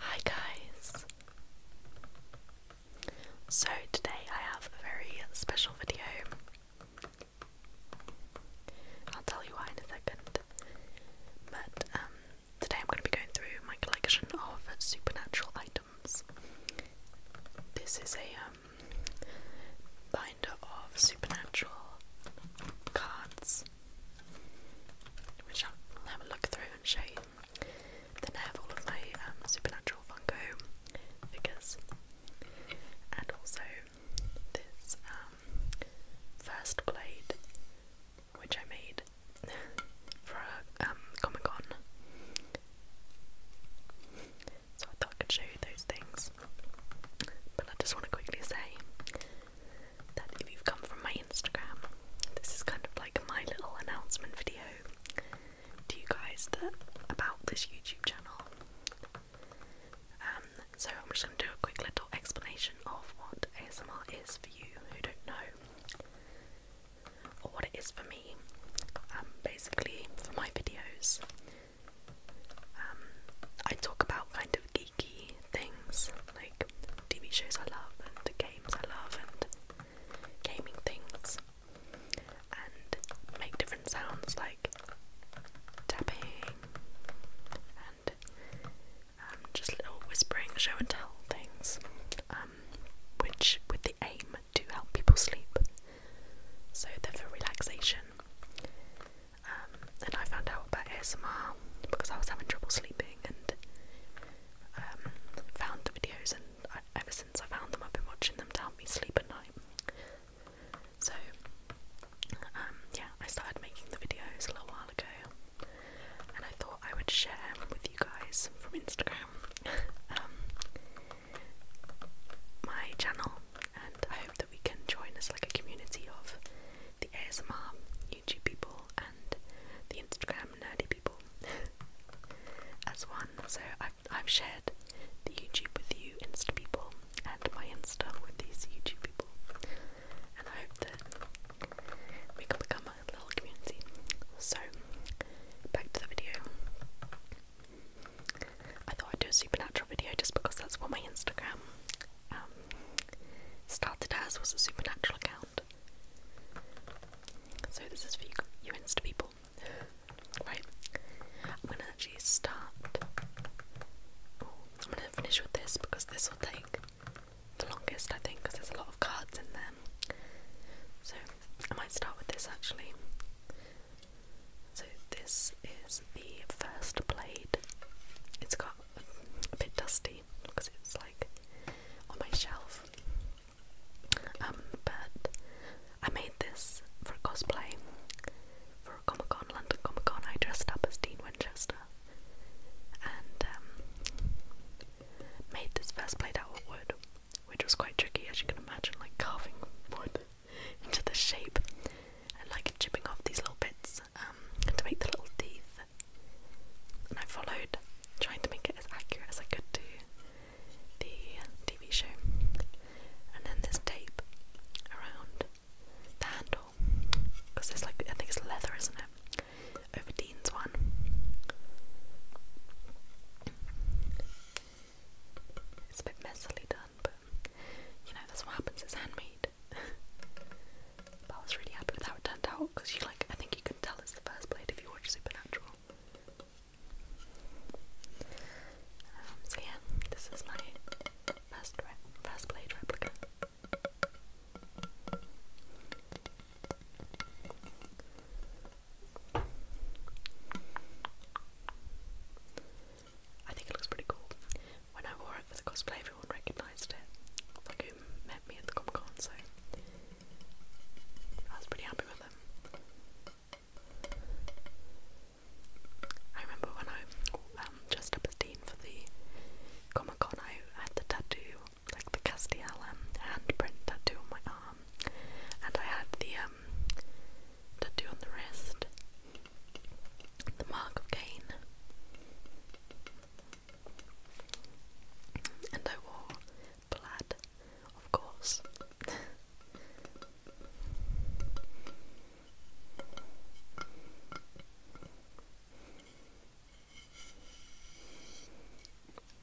Hi guys! So today I have a very special video. I'll tell you why in a second. But um, today I'm going to be going through my collection of supernatural items. This is a um, binder of supernatural cards which I'll have a look through and show you. Then I have all of my um, Supernatural Funko figures, and also this um, first blade, which I made for a um, Comic Con. So I thought I could show you those things. But I just want to quickly say that if you've come from my Instagram, this is kind of like my little announcement video to you guys that about this YouTube channel. Um, so I'm just going to do a quick little explanation of what ASMR is for you who don't know, or what it is for me. Um, basically, for my videos, um, I talk about kind of geeky things like TV shows I love and games I love and gaming things and make different sounds like tapping and um, just little whispering show and tell things um, which with the aim to help people sleep so they're for relaxation um, and I found out about ASMR because I was having trouble sleeping and um, found the videos, and ever since I found them, I've been watching them to help me sleep at night. So, um, yeah, I started making the videos a little while ago, and I thought I would share with you guys from Instagram um, my channel, and I hope that we can join as like a community of the ASMR YouTube people and the Instagram nerdy people as one. So I've shared the YouTube with you Insta people and my Insta with these YouTube people. And I hope that we can become a little community. So back to the video. I thought I'd do a supernatural video just because that's what my Instagram um, started as was a supernatural account. So this is for you, you Insta people. Right. I'm gonna actually start. I'm gonna finish with this because this will take the longest, I think, because there's a lot of cards in there. So I might start with this actually. So this is the first blade. It's got a bit dusty because it's like on my shelf. Um, but I made this for cosplay for Comic Con, London Comic Con. I dressed up as Dean Winchester and um, made this first blade out of wood, which was quite tricky, as you can imagine, like carving wood into the shape and like chipping off these little bits um, to make the little teeth, and I followed, trying to make it as accurate as I could to the TV show. And then there's tape around the handle, because there's like I think it's leather, isn't it? Over Dean's one. It's a bit messily done, but you know that's what happens. It's handmade. But I was really happy with how it turned out because you like I think you can tell it's the first blade if you watch Supernatural. Um, so yeah, this is my first re first blade replica. I think it looks pretty cool. When I wore it for the cosplay everyone recognised it, like who met me at the Comic Con, so I was pretty happy with them. I remember when I um, dressed up as Dean for the Comic Con, I had the tattoo, like the Castiel handprint tattoo on my arm, and I had the um, tattoo on the wrist, the mark of Cain. And I wore plaid, of course.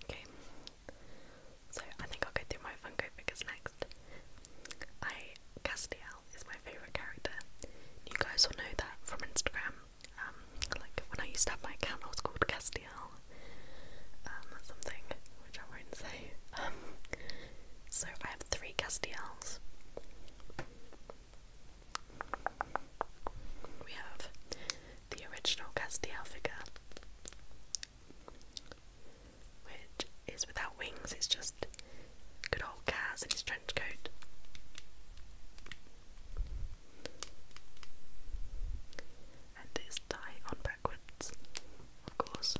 okay, so I think I'll go through my Funko figures next. I Castiel is my favourite character. You guys will know that from Instagram. Um, like when I used to have my account, I was called Castiel, um, or something, which I won't say. Um, so I have three Castiels. We have the original Castiel figure, which is without wings, it's just good old Cas in his trench coat. And this tie on backwards, of course.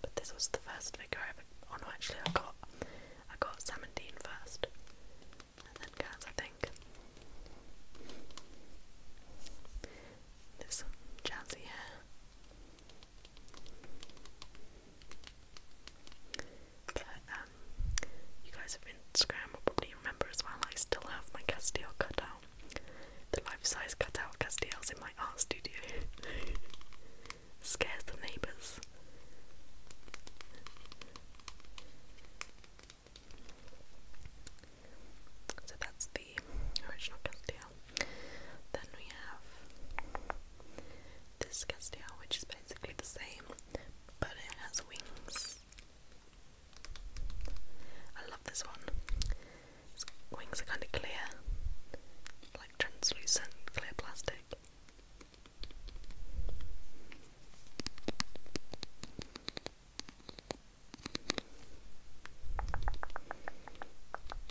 But this was the first figure I ever. Oh no, actually, I got I got Sam and Dean first, and then Gaz, I think. This jazzy hair. But um, you guys of Instagram will probably remember as well. I still have my Castiel cutout, the life-size cutout Castiel's in my art studio. Scares the neighbours. So that's original Castile. Then we have this Castile, which is basically the same, but it has wings. I love this one. wings are kind of clear, like translucent clear plastic.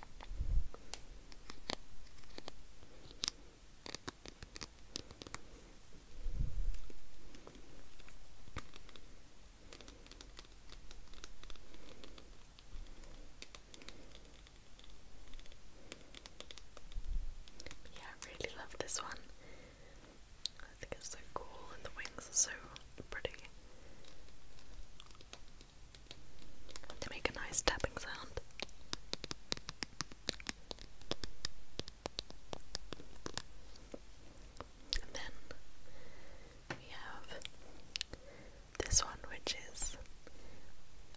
Yeah, I really love this one. I think it's so cool and the wings are so pretty. They make a nice tapping sound. And then we have this one, which is,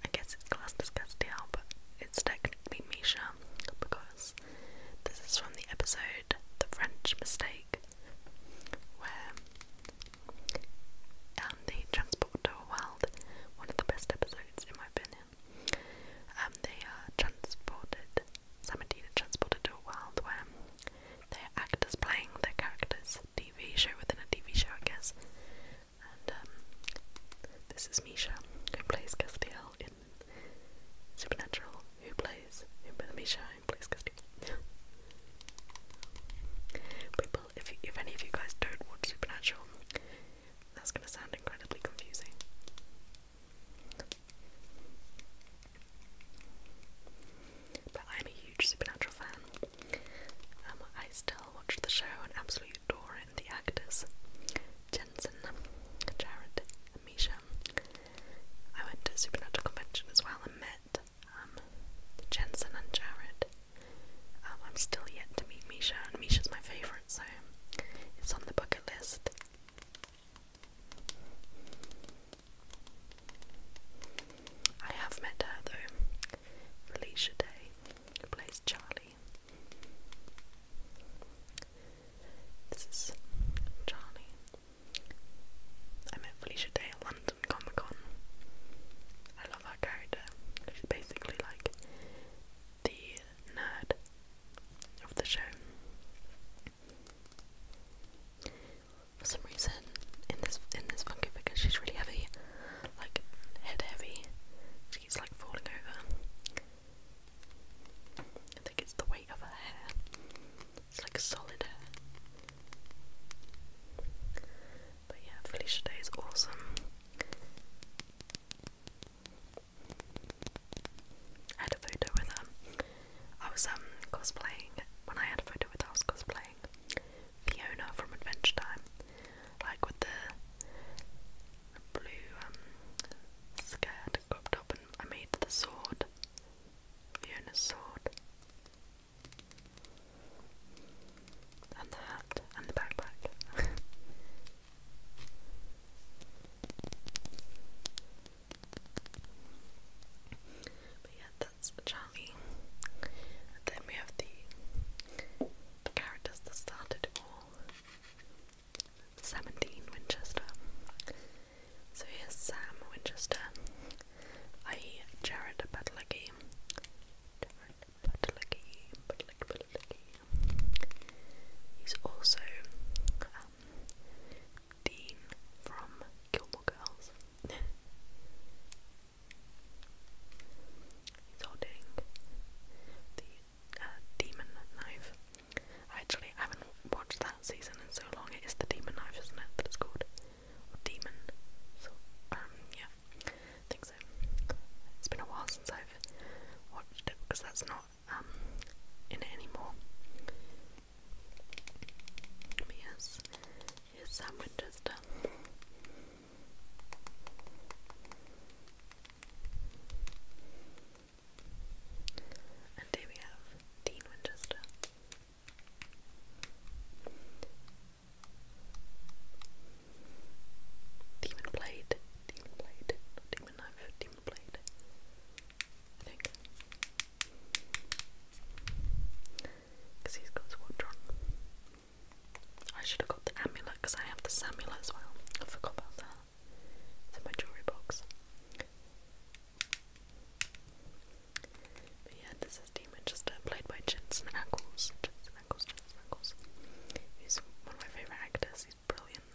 I guess it's classed as Castiel, but it's technically Misha because this is from the episode The French Mistake, where and the transport to a world, one of the best episodes in my opinion. Um, they are uh, transported, Samadina transported to a world where they are actors playing their characters, TV show within a TV show, I guess. And um, this is Misha, who plays Castiel in Supernatural, who plays who plays Misha People, if if any of you guys don't watch Supernatural, that's gonna sound incredibly confusing. But I'm a huge Supernatural fan. Um, I still watch the show and absolutely adore The actors, Jensen, Jared, and Misha. I went to a Supernatural convention as well and met um, Jensen and Jared. Um, I'm still yet to meet Misha, and Misha's my favourite, so it's on the bucket list. I have met her though. Felicia Day, who plays Charlie. This is Charlie. I met Felicia Day Comic Con. I love her character. She's basically like the nerd of the show. For some reason, in this in this funky figure, she's really heavy, like head heavy. She like falling over. I think it's the weight of her hair. It's like a solid hair. But yeah, Felicia Day is awesome. I had a photo with her. I was um cosplaying when I had a photo with her cosplaying Fiona from Adventure Time. Like with the blue um, skirt cropped up and I made the sword. Fiona's sword. And the hat and the backpack. but yeah, that's Charlie. then we have the, characters that started all. 17 Winchester. So here's Sam Winchester, I Jared Padalecki Jared Padalecki, Padalecki, he's also um, Dean from Gilmore Girls he's holding the uh, Demon Knife actually I haven't watched that season in so long it is the Demon Knife isn't it that it's called or demon. So, um, yeah, I think so. It's been a while since I've watched it because that's not um in it anymore. But yes, here's Sam Winchester. And here we have Dean Winchester. Demon blade, demon blade, demon knife, demon blade. I think. Because he's got his watch I should have got the amulet because I have the amulet as well. I forgot about that. It's in my jewellery box yeah, this is Demonchester, uh, played by Jensen Ackles. Jensen Ackles, Jensen Ackles. He's one of my favourite actors, he's brilliant.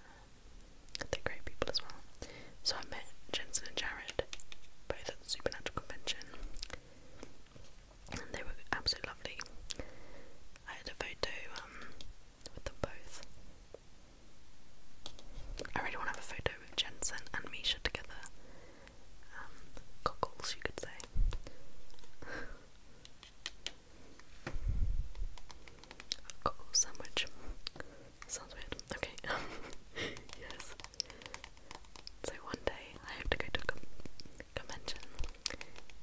Um, they're great people as well. So I met Jensen and Jared both at Supernatural Convention. And they were absolutely lovely. I had a photo um, with them both. I really want to have a photo with Jensen and Misha together. Cockles, um, you could say. Goggles sandwich. Sounds weird. Okay. yes. So one day I have to go to a com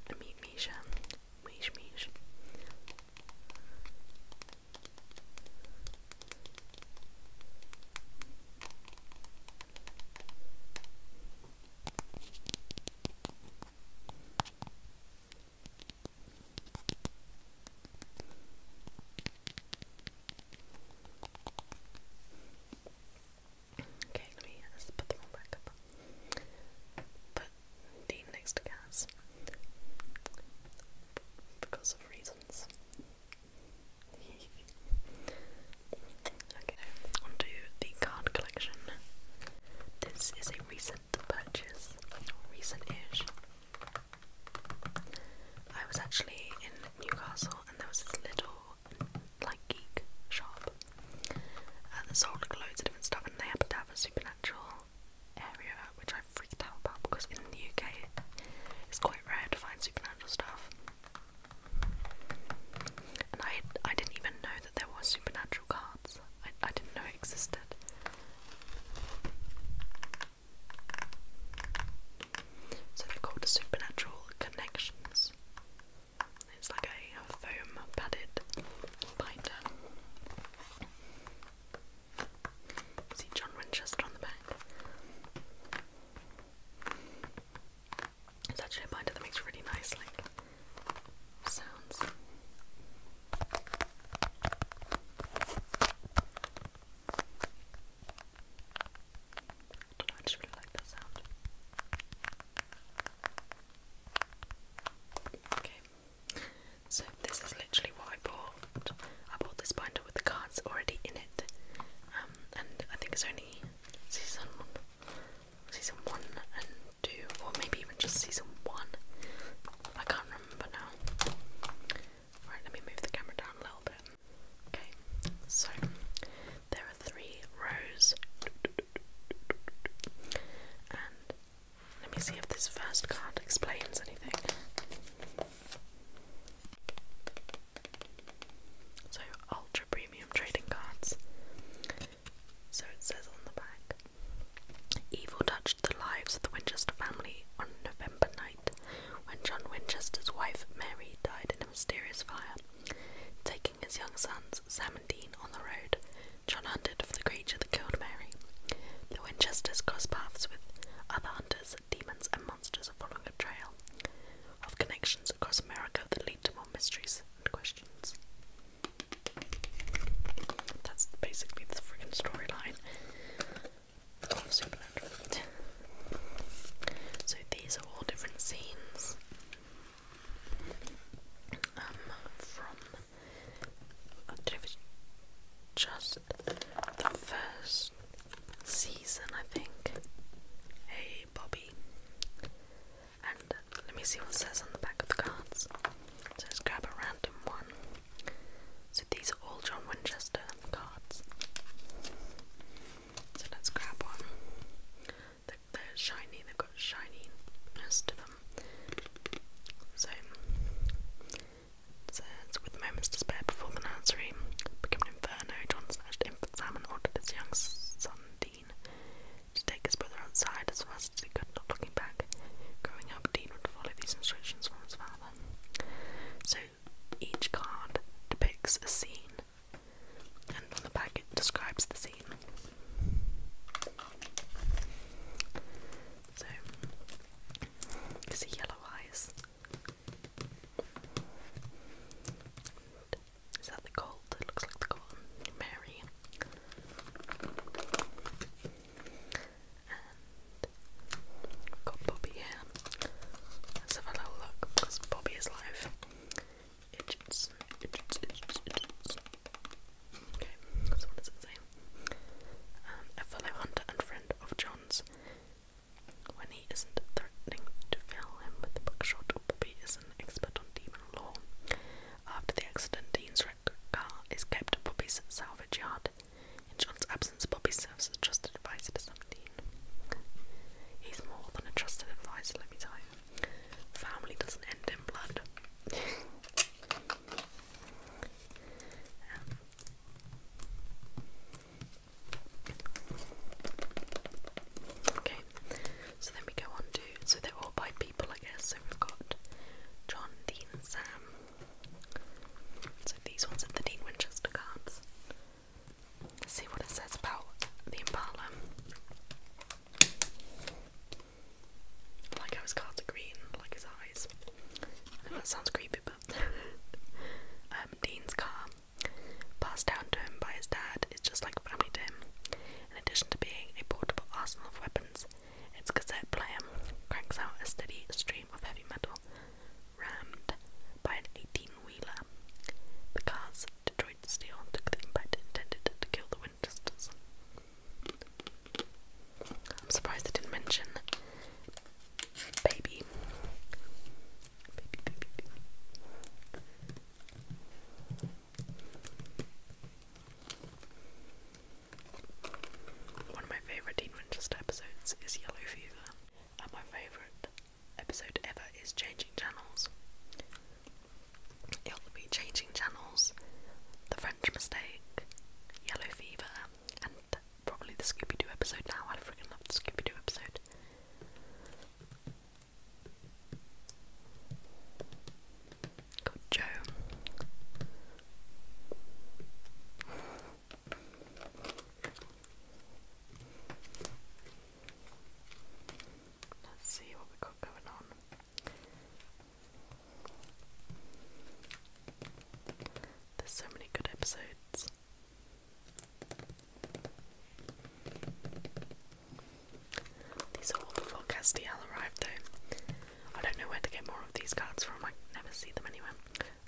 and meet Misha. Mish Mish. Okay, let me let's put them all back up. Put Dean next to Gaz because of reasons okay, onto the card collection. This is a recent purchase, recent-ish. I was actually in Newcastle and there was this little, like, geek shop uh, that sold like, loads of different stuff and they happened to have a supernatural area which I freaked out about because in the UK it's quite quite rare to find supernatural stuff. And I I didn't even know that there were supernatural cards. I I didn't know it existed. So they're called supernatural connections. It's like a foam padded binder. See John Winchester on the back. It's actually a binder that makes really nice like sounds. I, know, I really like that sound. Okay, so this is literally what I bought I bought this binder with the cards already in it, um, and I think it's only season one, season one and two, or maybe even just season one. I can't remember now. Right, let me move the camera down a little bit. Okay, so there are three rows, and let me see if this first card explains anything. So, ultra premium trading cards. So it says on the back Evil touched the lives of the Winchester family on November night when John Winchester's wife Mary died in a mysterious fire. Taking his young sons, Sam and Dean, on the road, John hunted for the creature that killed Mary. The Winchesters crossed paths with other hunters demons, and monsters are following a trail of connections across America that lead to more mysteries and questions. That's basically the friggin' storyline of Supernatural. So these are all different scenes um, from I don't know if it's just the first season, I think. Hey, Bobby. And let me see what says on the back of the cards. let's grab a random one. So these are all John Winchester cards. So let's grab one. They're, shiny, they've got shininess to them. So it says, with moments to spare before the nursery, an inferno, John snatched infant Sam and ordered his young son Dean to take his brother outside as fast as he could, not looking back. Growing up, Dean would follow these instructions from his father. So each card depicts a scene, and on the back it describes the scene. So, you see yellow eyes, is that the gold? It looks like the gold. Mary. And got Bobby here. Let's have a little look because Bobby is live. Idgits. Okay, what does it say? Um, a fellow hunter and friend of John's. When he isn't threatening to fill him with buckshot, Bobby is an expert on demon law. After the accident, Dean's wrecked car is kept at Bobby's salvage yard. In John's absence, Bobby serves as trusted advisor to some Dean. He's more than a trusted advisor, let me tell you. Family doesn't end in blood. Okay, so then we go on to so they're all by people, I guess. So we've got John, Dean, Sam. So these ones are the Dean Winchester cards. see what it says about the Impala. like how his cards green, like his eyes. that sounds creepy, Um, Dean's car, passed down to him by his dad, is just like family to him. In addition to being a portable arsenal of weapons, its cassette player cranks out a steady stream of heavy metal, rammed by an 18-wheeler. The car's Detroit steel took the intended to kill the Winchesters. I'm surprised they didn't mention baby. Baby, baby, baby. One of my favourite Dean Winchester episodes is Yellow Fever, and my favourite episode ever is Changing Channels. It'll Changing Channels, The French Mistake, Yellow Fever, and probably the Scooby Doo episode now. I freaking love the Scooby Doo episode. Got Joe. Let's see what we got going on. There's so many good episodes. These all before Castiel arrived, though. I don't know where to get more of these cards from. I never see them anywhere.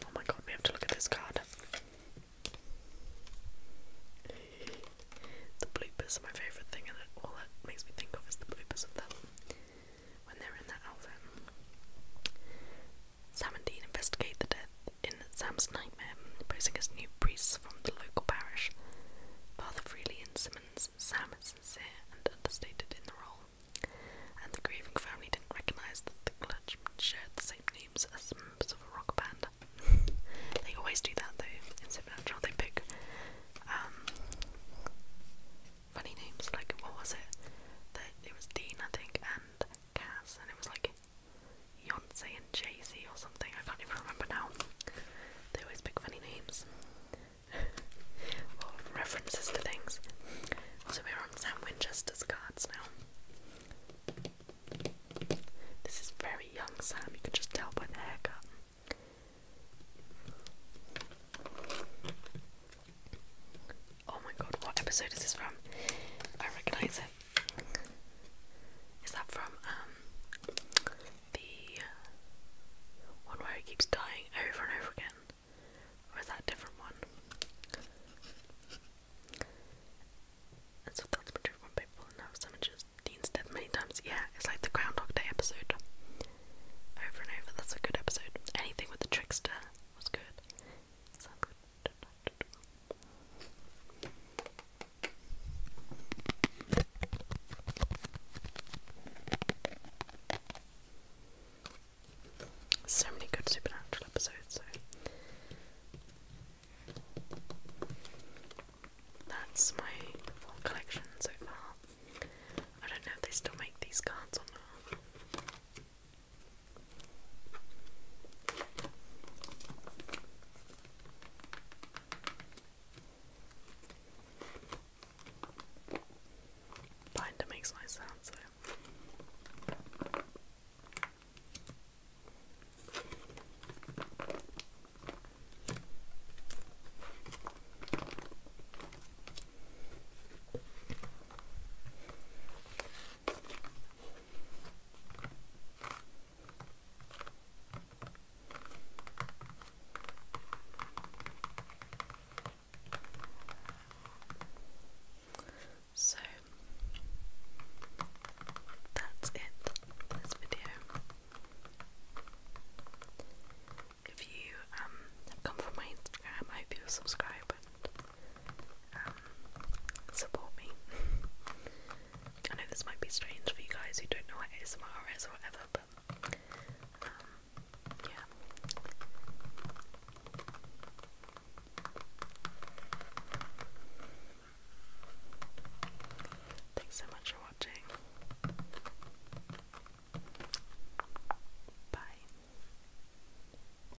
Oh my god, we have to look at this card. The bloopers are my favourite thing, and all that makes me think of is the bloopers of them when they're in that outfit. Sam and Dean investigate the death in Sam's nightmare, posing as new priests from the local parish. Father Freely and Simmons, Sam is sincere and understated in the role, and the grieving family didn't recognise that the clergymen shared the same names as members of a rock band. they always do that though, in Supernatural, they pick um, funny names, like what was it? The, it was Dean, I think, and Cass, and it was like Beyonce and Jay Z or something. I can't even remember now. They always pick funny names or references to things. So we're on Sam Winchester's cards now. This is very young Sam. You can just tell by the haircut. Oh my god, what episode is this from? I recognise it. Is that from um the one where he keeps dying over and over again? Or that different one? And so that's one people and now someone just Dean's death many times. Yeah, it's like the Groundhog Day episode. Over and over, that's a good episode. Anything with the trickster was good. So many good supernatural episodes, so that's my collection so far. I don't know if they still make these cards or not. Binder makes nice sounds so that's it this video. If you um, have come from my Instagram, I hope you'll subscribe um, support me. I know this might be strange for you guys who don't know what ASMR or whatever, but um, yeah. Thanks so much for watching. Bye.